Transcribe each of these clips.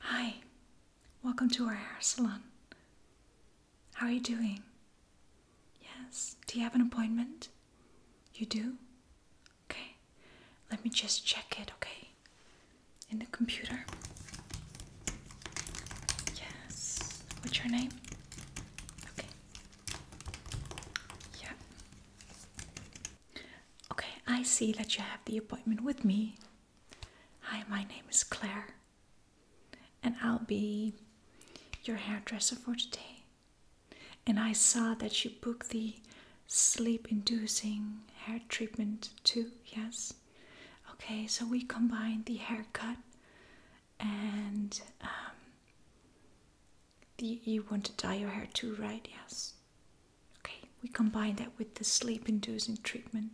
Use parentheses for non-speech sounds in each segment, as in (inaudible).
Hi, welcome to our hair salon. How are you doing? Yes, do you have an appointment? You do? Okay, let me just check it, okay? In the computer. Yes, what's your name? Okay. Yeah. Okay, I see that you have the appointment with me. Hi, my name is Claire, and I'll be your hairdresser for today. And I saw that you booked the sleep inducing hair treatment too, yes? Okay, so we combine the haircut and um, the, you want to dye your hair too, right? Yes. Okay, we combine that with the sleep inducing treatment.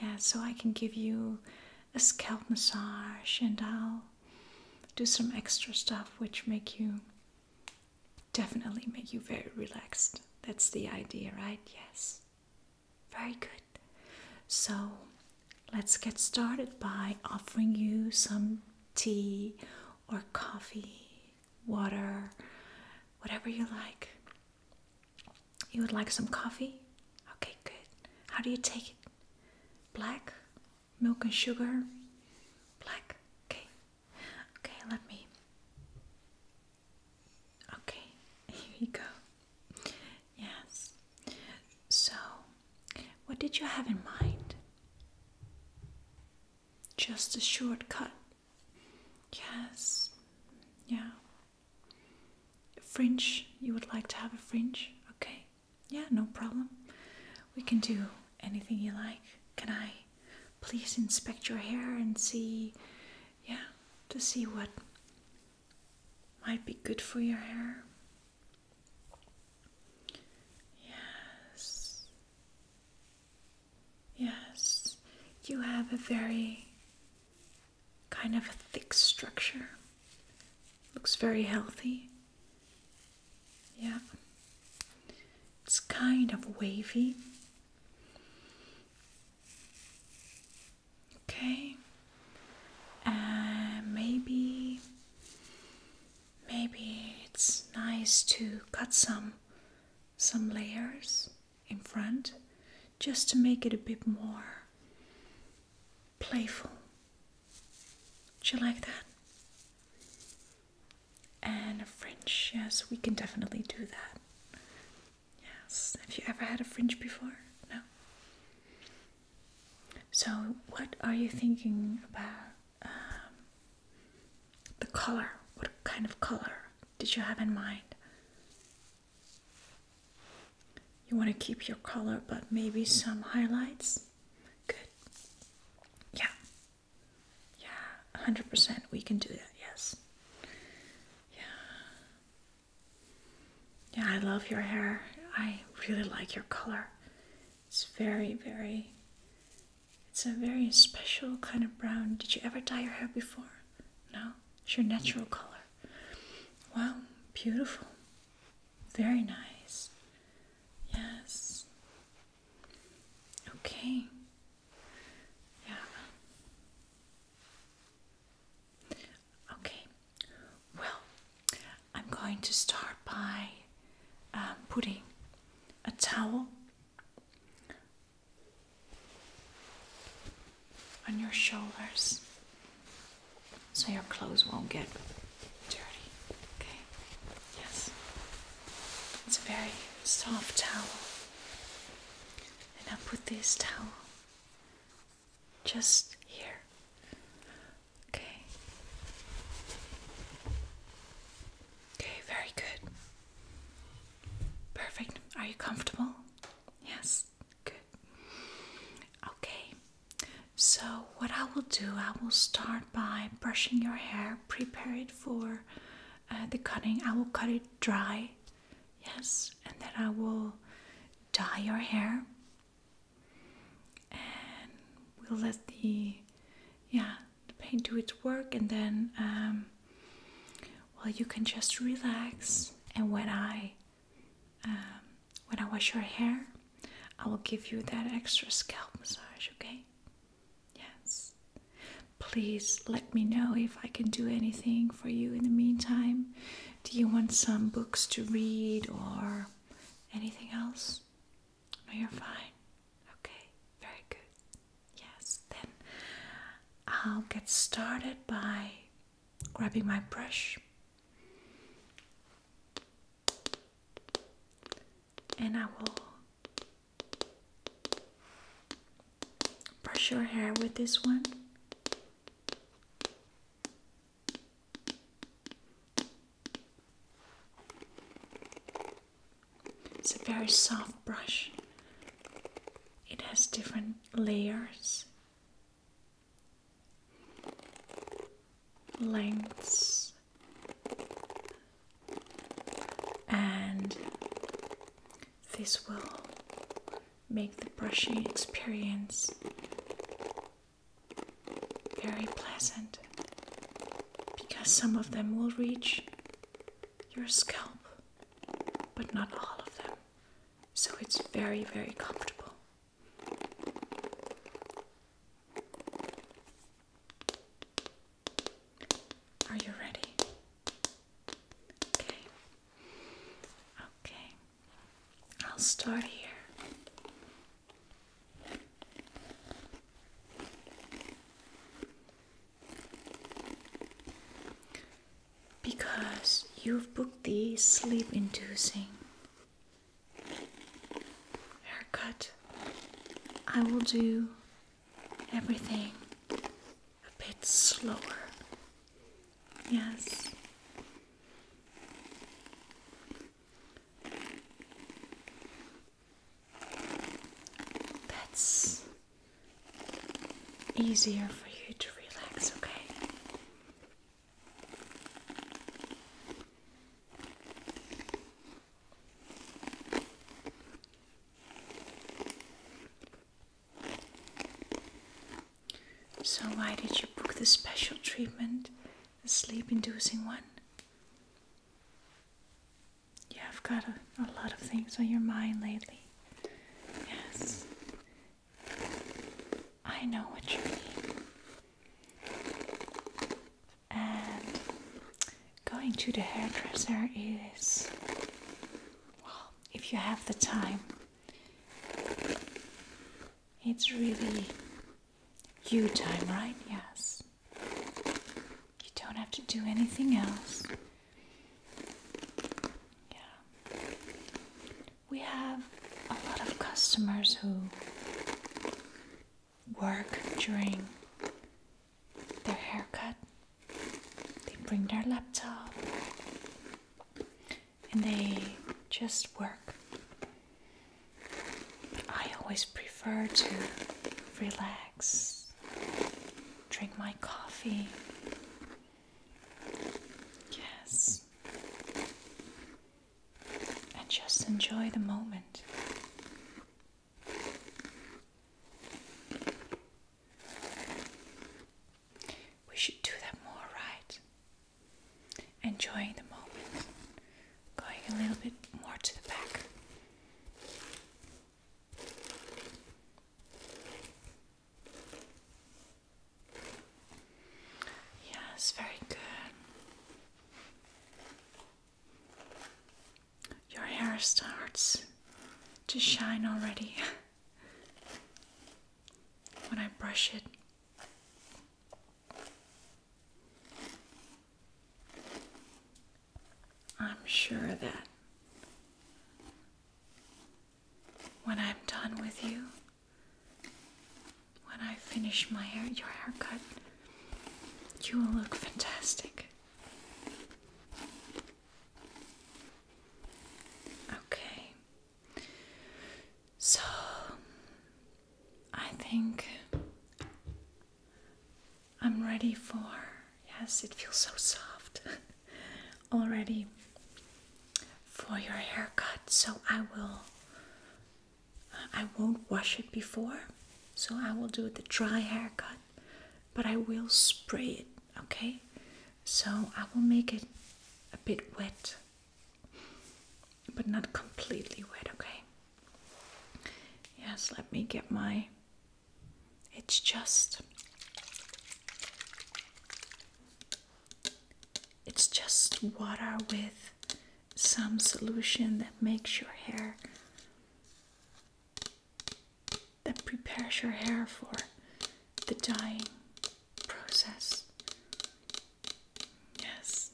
Yeah, so I can give you a scalp massage and I'll do some extra stuff which make you definitely make you very relaxed. That's the idea, right? Yes. Very good. So let's get started by offering you some tea or coffee water, whatever you like. You would like some coffee? Okay, good. How do you take it? Black? Milk and sugar? Black? Okay. Okay, let me. Okay, (laughs) here you go. Yes. So, what did you have in mind? Just a shortcut Yes, yeah. fringe, you would like to have a fringe? Okay, yeah, no problem. We can do anything you like. Can I please inspect your hair and see, yeah, to see what might be good for your hair? Yes. Yes, you have a very kind of a thick structure. Looks very healthy. Yeah. It's kind of wavy. Okay. Uh, maybe maybe it's nice to cut some some layers in front just to make it a bit more playful. Do you like that? And a fringe, yes, we can definitely do that. Yes, have you ever had a fringe before? No? So, what are you thinking about? Um, the color, what kind of color did you have in mind? You want to keep your color, but maybe some highlights? Good. Yeah. Yeah, 100% we can do that, yes. Yeah. Yeah, I love your hair. I really like your color. It's very, very it's a very special kind of brown. Did you ever dye your hair before? No? It's your natural color. Wow, beautiful. Very nice. Yes. Okay. Yeah. Okay. Well, I'm going to start by um, putting a towel on your shoulders so your clothes won't get dirty. Okay? Yes. It's a very soft towel. And I'll put this towel just here. Okay. Okay, very good. Perfect. Are you comfortable? Yes. Good. Okay. So, what I will do, I will start by brushing your hair, prepare it for uh, the cutting. I will cut it dry, yes, and then I will dye your hair. And we'll let the, yeah, the paint do its work, and then, um, well, you can just relax. And when I, um, when I wash your hair, I will give you that extra scalp massage. Okay? Yes. Please let me know if I can do anything for you in the meantime. Do you want some books to read or anything else? No, you're fine. Okay, very good. Yes, then I'll get started by grabbing my brush. And I will brush your hair with this one. It's a very soft brush. It has different layers, lengths, and this will make the brushing experience very pleasant because some of them will reach your scalp, but not all of them. So it's very, very comfortable. Are you ready? Okay. Okay. I'll start here because you've booked the sleep inducing haircut. I will do everything a bit slower. Yes. That's easier for you to relax, okay? So, why did you book the special treatment, the sleep inducing one? Yeah, i have got a, a lot of things on your mind lately. Yes. I know what you mean. And going to the hairdresser is, well, if you have the time, it's really you time, right? Yes. You don't have to do anything else. Yeah. We have a lot of customers who work during their haircut. They bring their laptop and they just work. I always prefer to relax drink my coffee. Yes. And just enjoy the moment. We should do that more, right? Enjoying the moment. Going a little bit more to the back. Yes, very good. Your hair starts to shine already (laughs) when I brush it. I'm sure that when I'm done with you, when I finish my your haircut, you will look fantastic. Okay. So I think I'm ready for. Yes, it feels so soft (laughs) already for your haircut. So I will. I won't wash it before, so I will do the dry haircut, but I will spray it, okay? So I will make it a bit wet, but not completely wet, okay? Yes, let me get my it's just. It's just water with some solution that makes your hair. that prepares your hair for the dyeing process. Yes,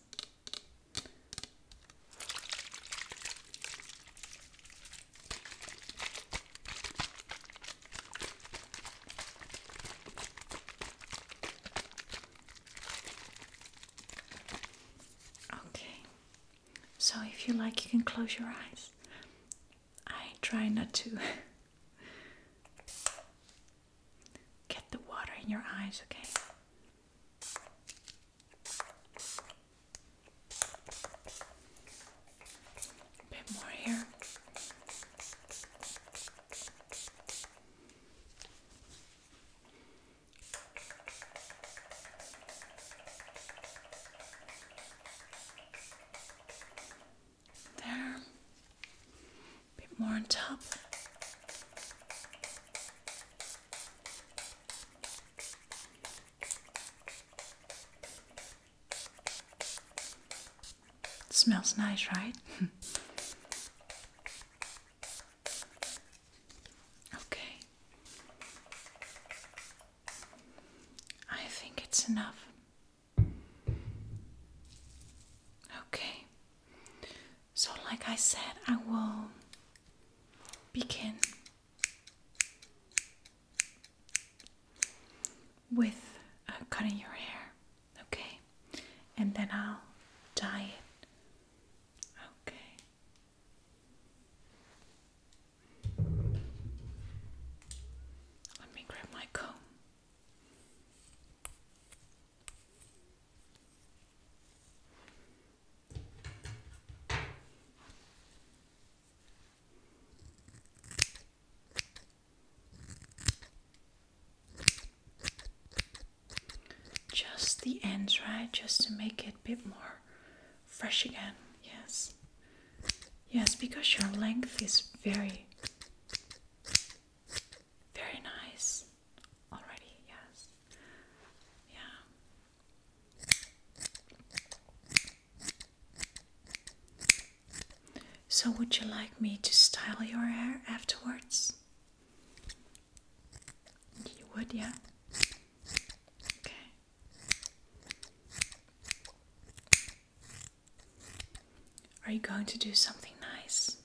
Okay, so if you like, you can close your eyes. I try not to (laughs) get the water in your eyes, okay? A bit more here. There. A bit more on top smells nice, right? (laughs) okay. I think it's enough. Okay. So, like I said, I will begin with cutting your hair, okay? And then I'll dye it, okay? Let me grab my comb. Just the ends, right? Just to make it a bit more fresh again. Yes. Yes, because your length is very, very nice already. Yes. Yeah. So, would you like me to style your hair afterwards? You would, yeah? Okay. Are you going to do something nice?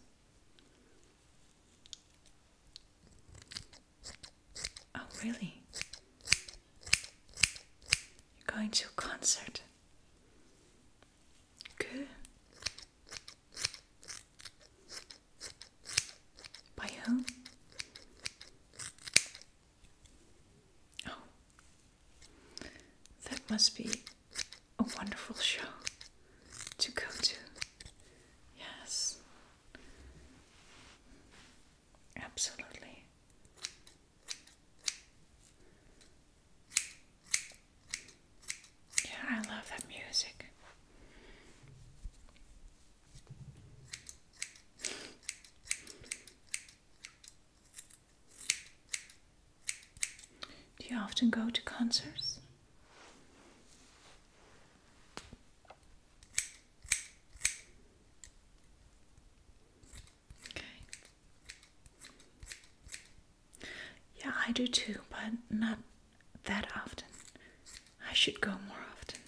Oh, really? You're going to a concert? Good. By whom? Oh, that must be a wonderful show to go to. Yes, Absolutely. Yeah, I love that music. Do you often go to concerts? Yeah, I do too, but not that often. I should go more often.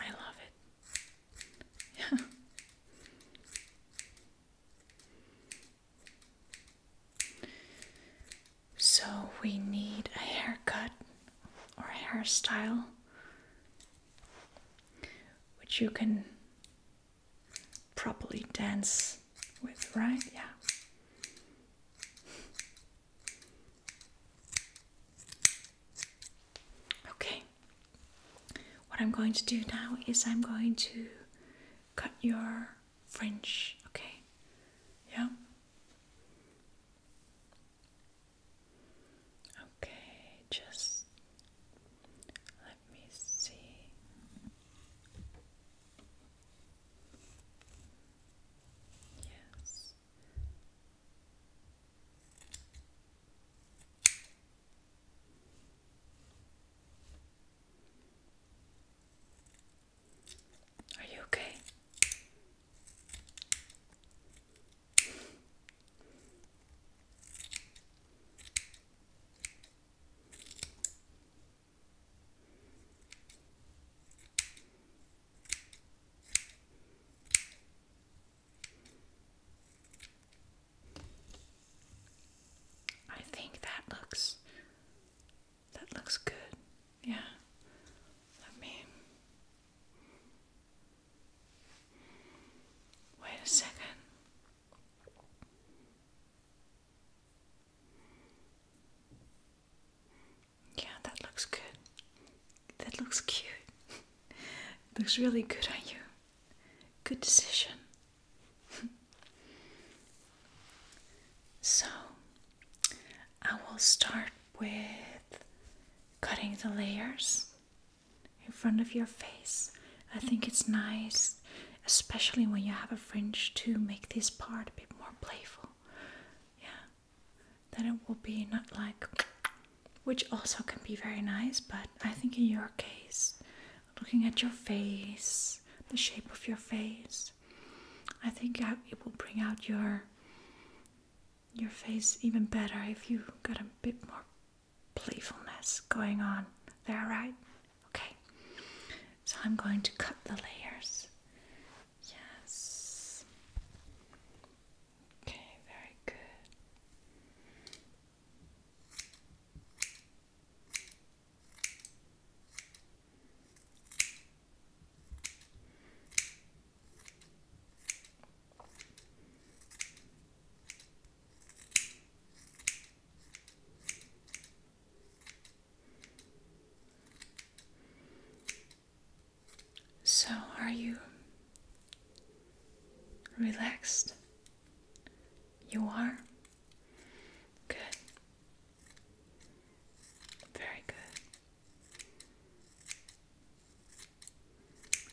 I love it. Yeah. (laughs) So we need a haircut or hairstyle, which you can properly dance with, right? Yeah. Okay. What I'm going to do now is I'm going to cut your fringe, okay? Yeah. Okay, just let me see. Yes. Are you okay? I think that looks that looks good. Yeah. Let me. Wait a second. Yeah, that looks good. That looks cute. (laughs) looks really good on you. Good decision. (laughs) so, I will start with cutting the layers in front of your face. I think it's nice, especially when you have a fringe, to make this part a bit more playful. Yeah, then it will be not like, which also can be very nice, but I think in your case, looking at your face, the shape of your face, I think it will bring out your your face even better if you got a bit more playfulness going on there, right? Okay. So I'm going to cut the layers. Yes. Okay, very good. So, are you relaxed? You are? Good. Very good.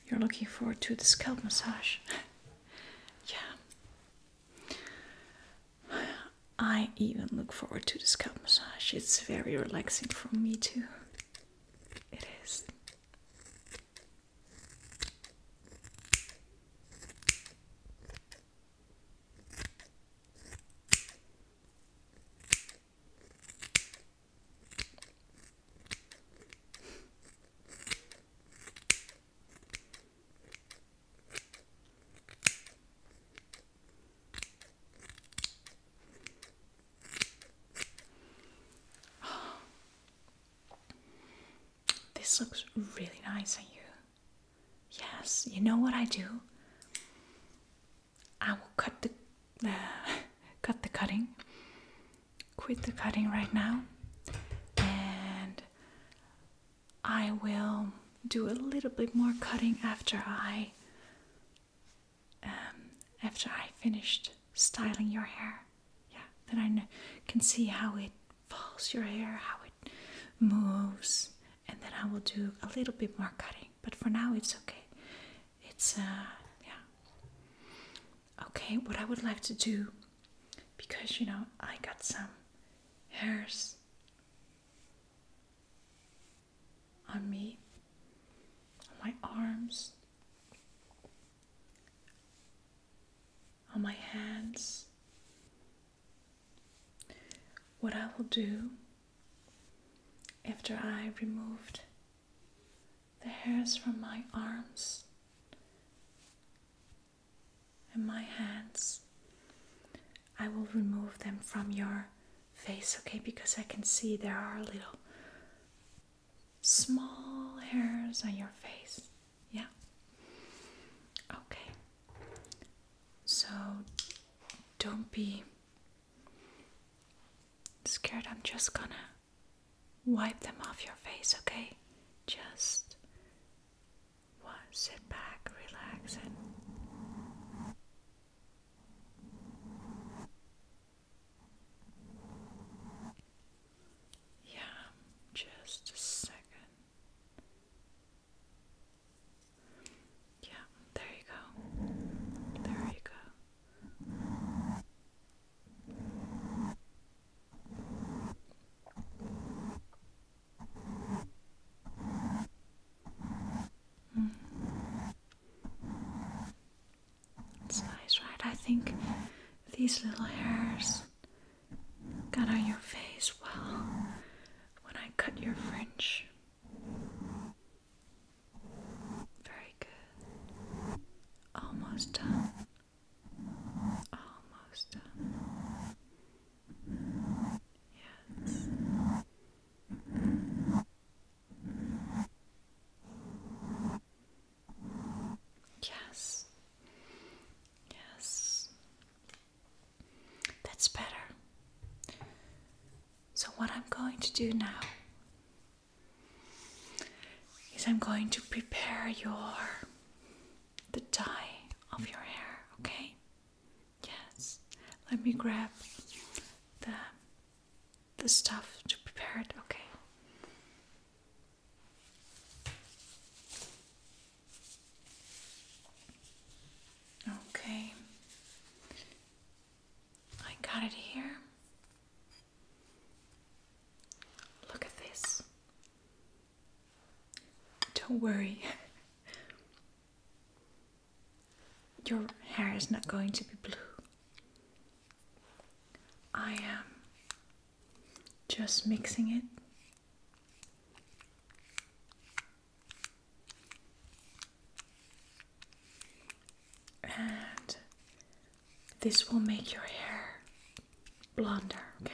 You're looking forward to the scalp massage. (laughs) yeah. I even look forward to the scalp massage. It's very relaxing for me too. It is. (sighs) This looks really nice on you. Yes, you know what I do? I will cut the uh, cut the cutting. Quit the cutting right now, and I will do a little bit more cutting after I um, after I finished styling your hair. Yeah, then I can see how it falls your hair, how it moves, and then I will do a little bit more cutting but for now it's okay. It's uh yeah. Okay, what I would like to do because you know I got some hairs on me, on my arms, on my hands, what I will do after I removed the hairs from my arms and my hands, I will remove them from your face, okay? Because I can see there are little small hairs on your face, yeah? Okay. So don't be Scared, I'm just gonna wipe them off your face, okay? Just sit back, relax, and yeah, just a second. Yeah, there you go. There you go. Mm. It's nice, right? I think these little hairs got on your face well when I cut your fringe. Very good. Almost done. Almost done. Yes. Yes. Yes. That's better. So, what I'm going to do now is I'm going to prepare your the dye of your hair, okay? Yes. Let me grab the the stuff to prepare it, okay? Okay. I got it here. Look at this. Don't worry. (laughs) Your hair is not going to be blue. I am just mixing it and this will make your hair blonder, okay?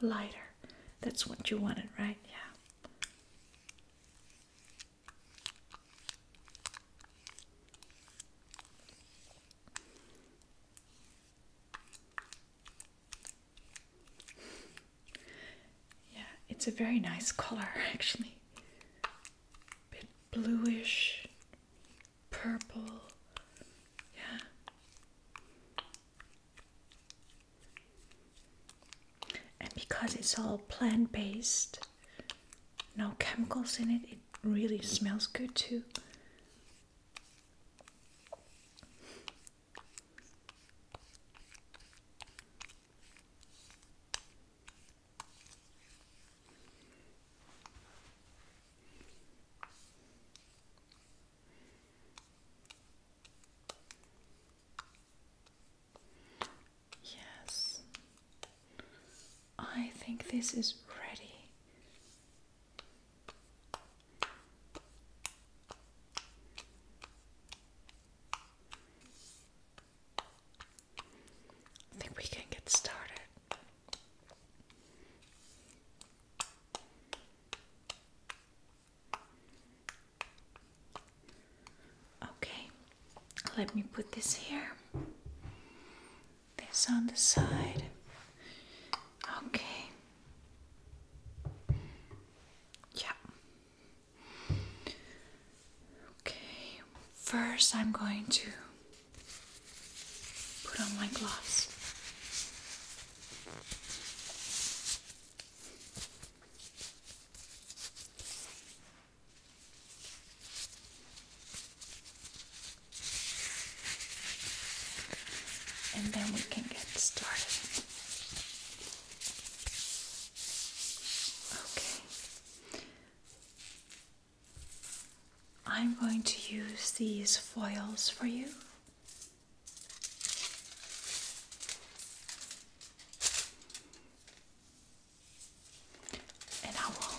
Lighter. That's what you wanted, right? Yeah. Yeah, it's a very nice color (laughs) actually. bit bluish, purple. Yeah. And because it's all plant based, no chemicals in it, it really smells good too. Yes, I think this is ready. I think we can get started. Okay, let me put this here, this on the side. Okay, yeah, Okay, first I'm going to put on my gloves. And then we can get started. Okay. I'm going to use these foils for you. And I will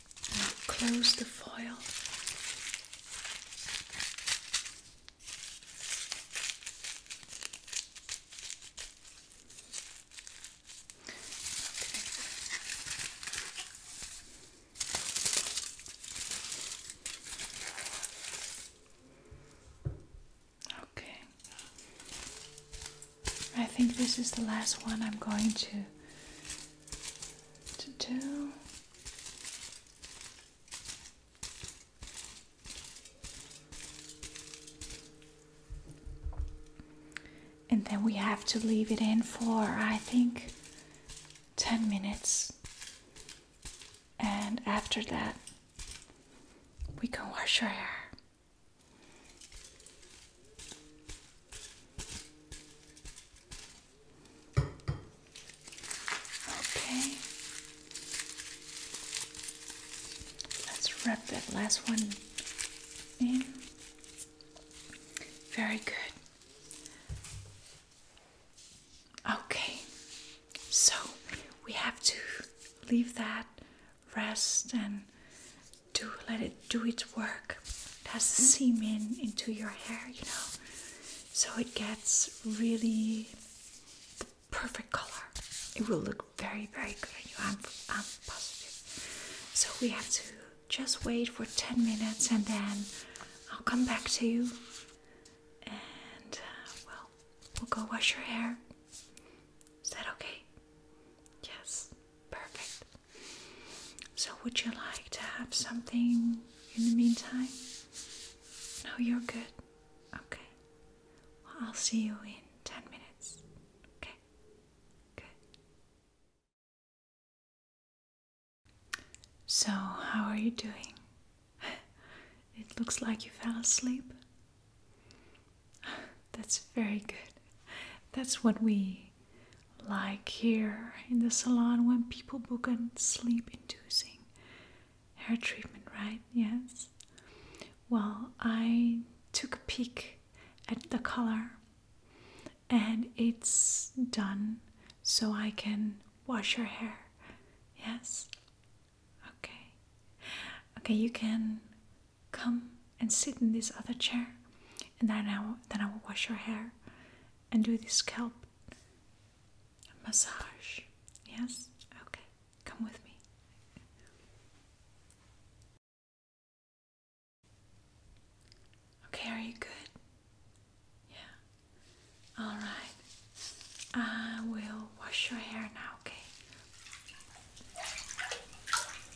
close the foil. Okay. I think this is the last one I'm going to to do. And then we have to leave it in for, I think, 10 minutes. And after that, we can wash our hair. Okay. Let's wrap that last one in. Very good. Okay, so we have to leave that rest and do let it do its work. It has to hmm. seam in into your hair, you know, so it gets really the perfect color. It will look very, very good on you. I'm, I'm positive. So we have to just wait for 10 minutes and then I'll come back to you. And uh, well, we'll go wash your hair. Is that okay? Yes, perfect. So, would you like to have something in the meantime? No, you're good. Okay. I'll see you in 10 minutes. Okay. Good. So, how are you doing? (laughs) it looks like you fell asleep. (laughs) That's very good. That's what we like here in the salon when people book a sleep inducing hair treatment, right? Yes. Well, I took a peek at the color and it's done so I can wash your hair. Yes. Okay. Okay, you can come and sit in this other chair and then I will, then I will wash your hair and do the scalp massage. Yes? Okay, come with me. Okay, are you good? Yeah. All right. I will wash your hair now, okay?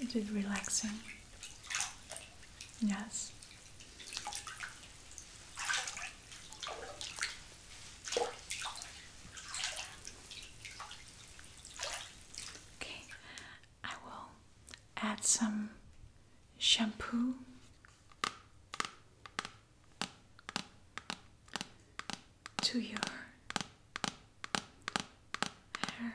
Is it relaxing? Yes. Okay, I will add some shampoo to your hair.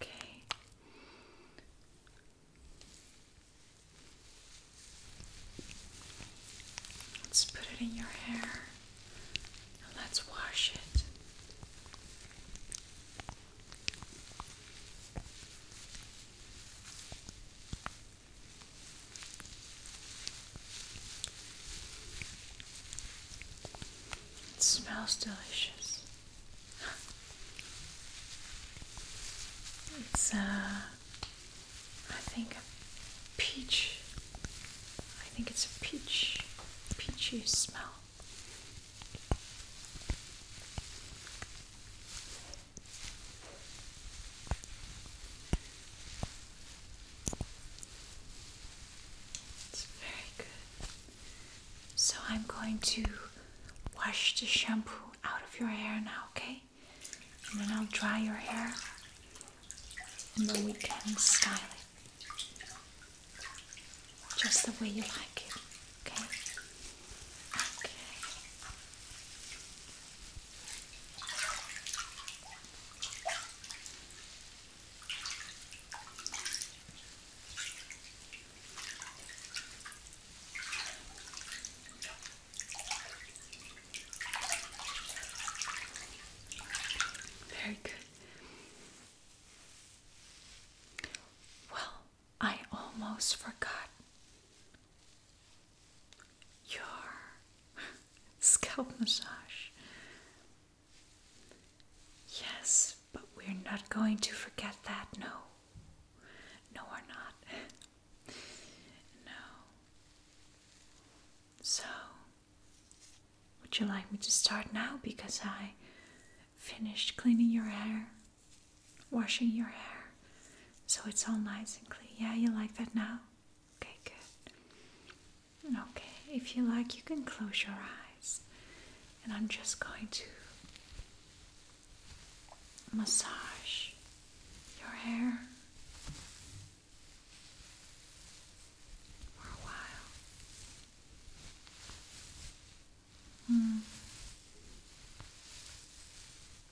Okay. Let's put it in your hair and let's wash it. It smells delicious. It's uh think a peach. I think it's a peach peachy smell. It's very good. So I'm going to wash the shampoo out of your hair now, okay? And then I'll dry your hair and then we can style it just the way you like it, okay? Okay. Very good. Well, I almost forgot your (laughs) scalp massage. Yes, but we're not going to forget that, no. No, we're not. (laughs) no. So, would you like me to start now because I finished cleaning your hair, washing your hair, so it's all nice and clean? Yeah, you like that now? Okay, good. Okay, if you like, you can close your eyes. And I'm just going to massage your hair for a while. Mm.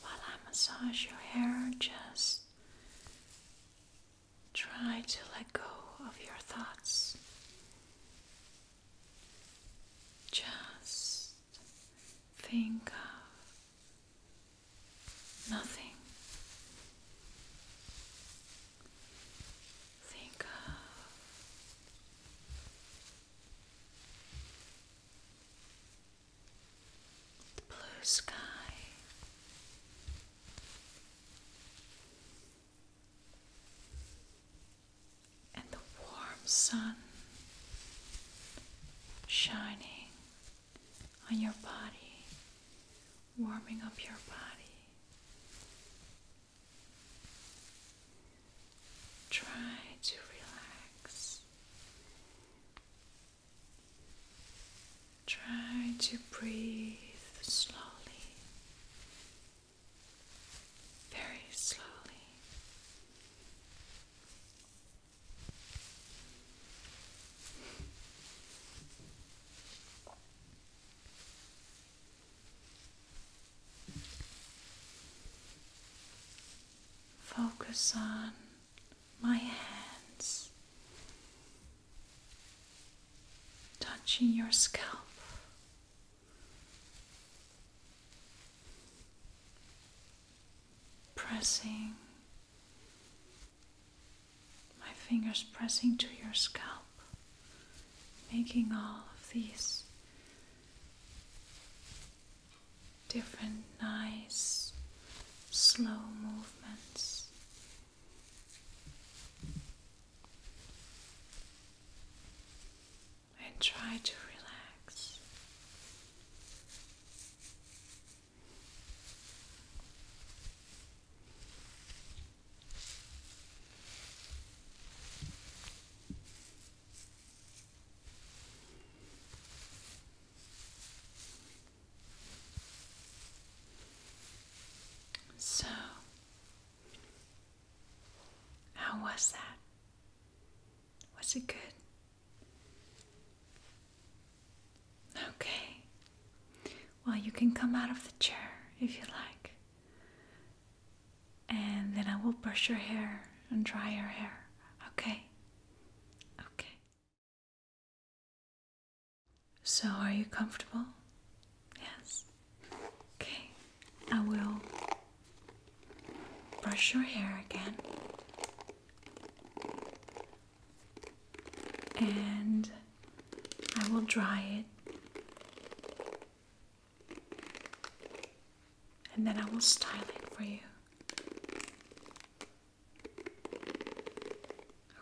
While I massage your hair, just try to let go of your thoughts. Just think of Nothing. Think of the blue sky. And the warm sun shining on your body, warming up your body. Try to relax. Try to breathe slowly, very slowly. Focus on my hands touching your scalp. Pressing my fingers pressing to your scalp, making all of these different, nice, slow movements. And try to relax. So, how was that? Was it good? Okay. Well, you can come out of the chair if you like. And then I will brush your hair and dry your hair. Okay. Okay. So, are you comfortable? Yes. Okay. I will brush your hair again and I will dry it and then I will style it for you.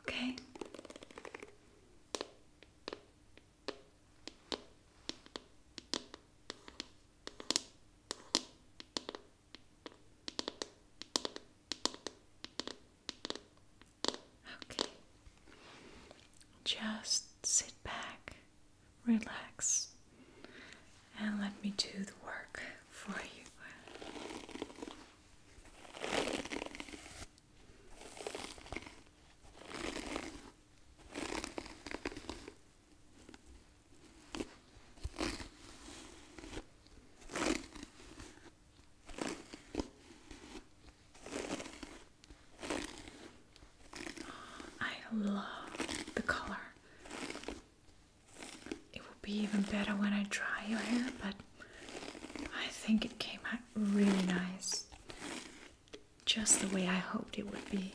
Okay? Okay. Just sit back, relax, and let me do the work for you. I love the color. It will be even better when I dry your hair, but I think it came out really nice. Just the way I hoped it would be.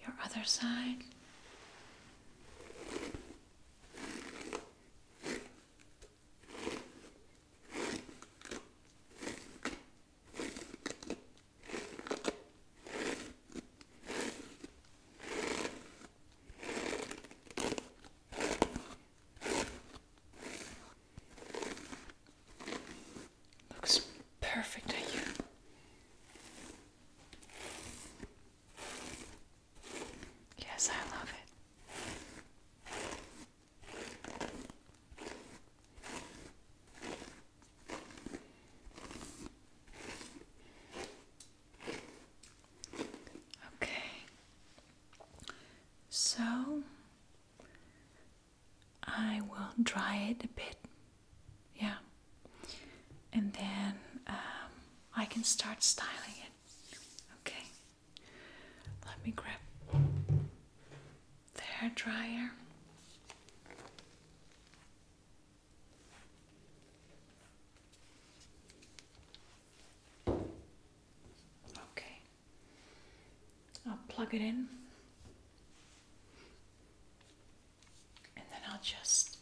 your other side. Looks perfect on you. Yes, I love it. Okay. So I will dry it a bit yeah. And then um, I can start styling it. Okay. Let me grab the hair dryer. Okay. I'll plug it in and then I'll just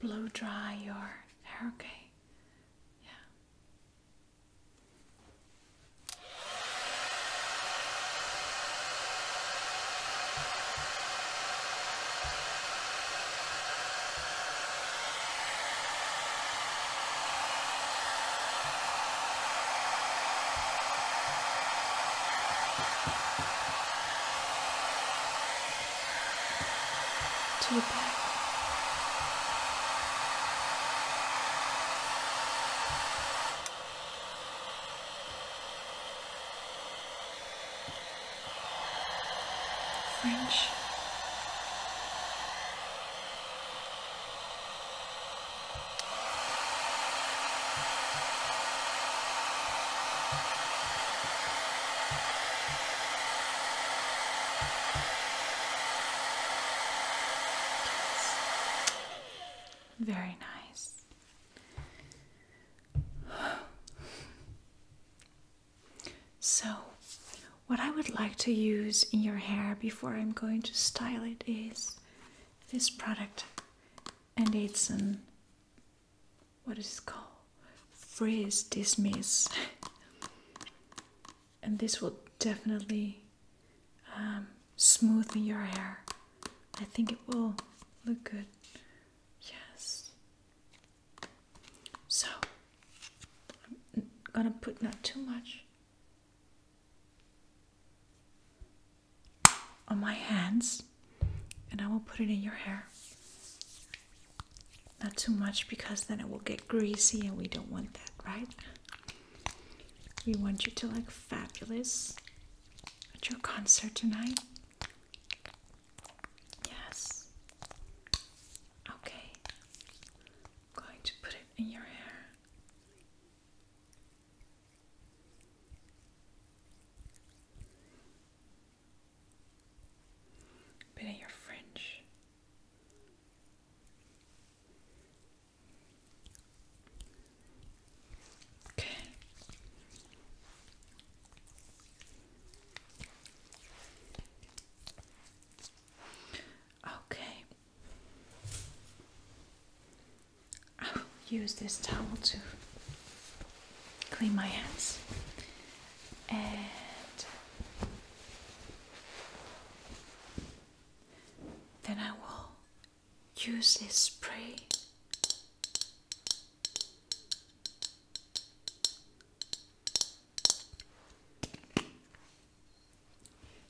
blow dry your hair, okay? Yeah to your back. French. Very nice. So, what I would like to use in your hair before I'm going to style it is this product, and it's an what is it called freeze dismiss and this will definitely um, smooth your hair i think it will look good yes so i'm gonna put not too much on my hands and I will put it in your hair. Not too much because then it will get greasy and we don't want that, right? We want you to look fabulous at your concert tonight. Yes. Okay. going to put it in your hair. Bit of your French. Okay. Okay. I'll use this towel to clean my hands. And then I will use this spray.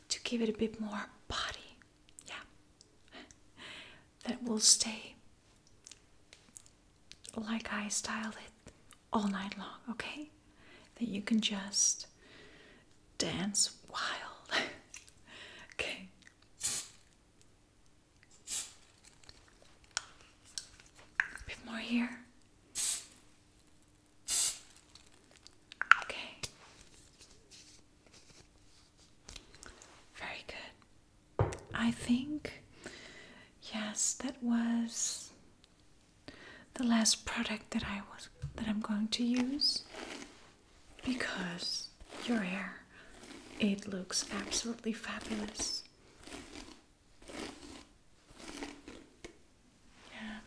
to give it a bit more body. Yeah that will stay like I styled it all night long, okay? That you can just dance wild. (laughs) okay. A bit more here. Okay. Very good. I think, yes, that was the last product that I was that I'm going to use because your hair it looks absolutely fabulous. Yeah.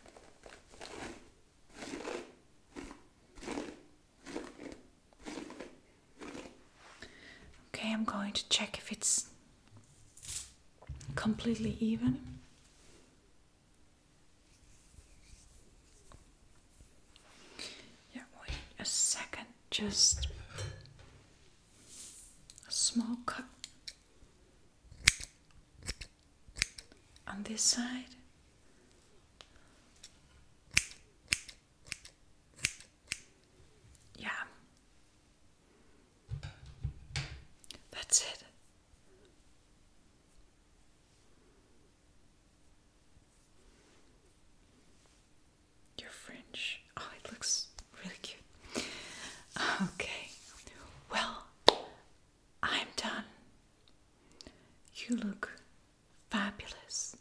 Okay, I'm going to check if it's completely even. Yeah, wait a second, just a small cut on this side. Yeah. That's it. Your fringe. Oh, it looks really cute. Okay. Well, I'm done. You look fabulous.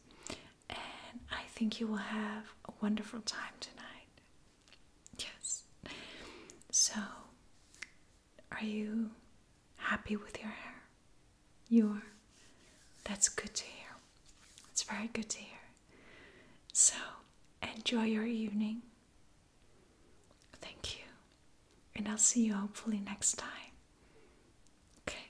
And I think you will have a wonderful time tonight. Yes. So, are you happy with your hair? You are. That's good to hear. It's very good to hear. So, enjoy your evening. Thank you. And I'll see you hopefully next time. Okay.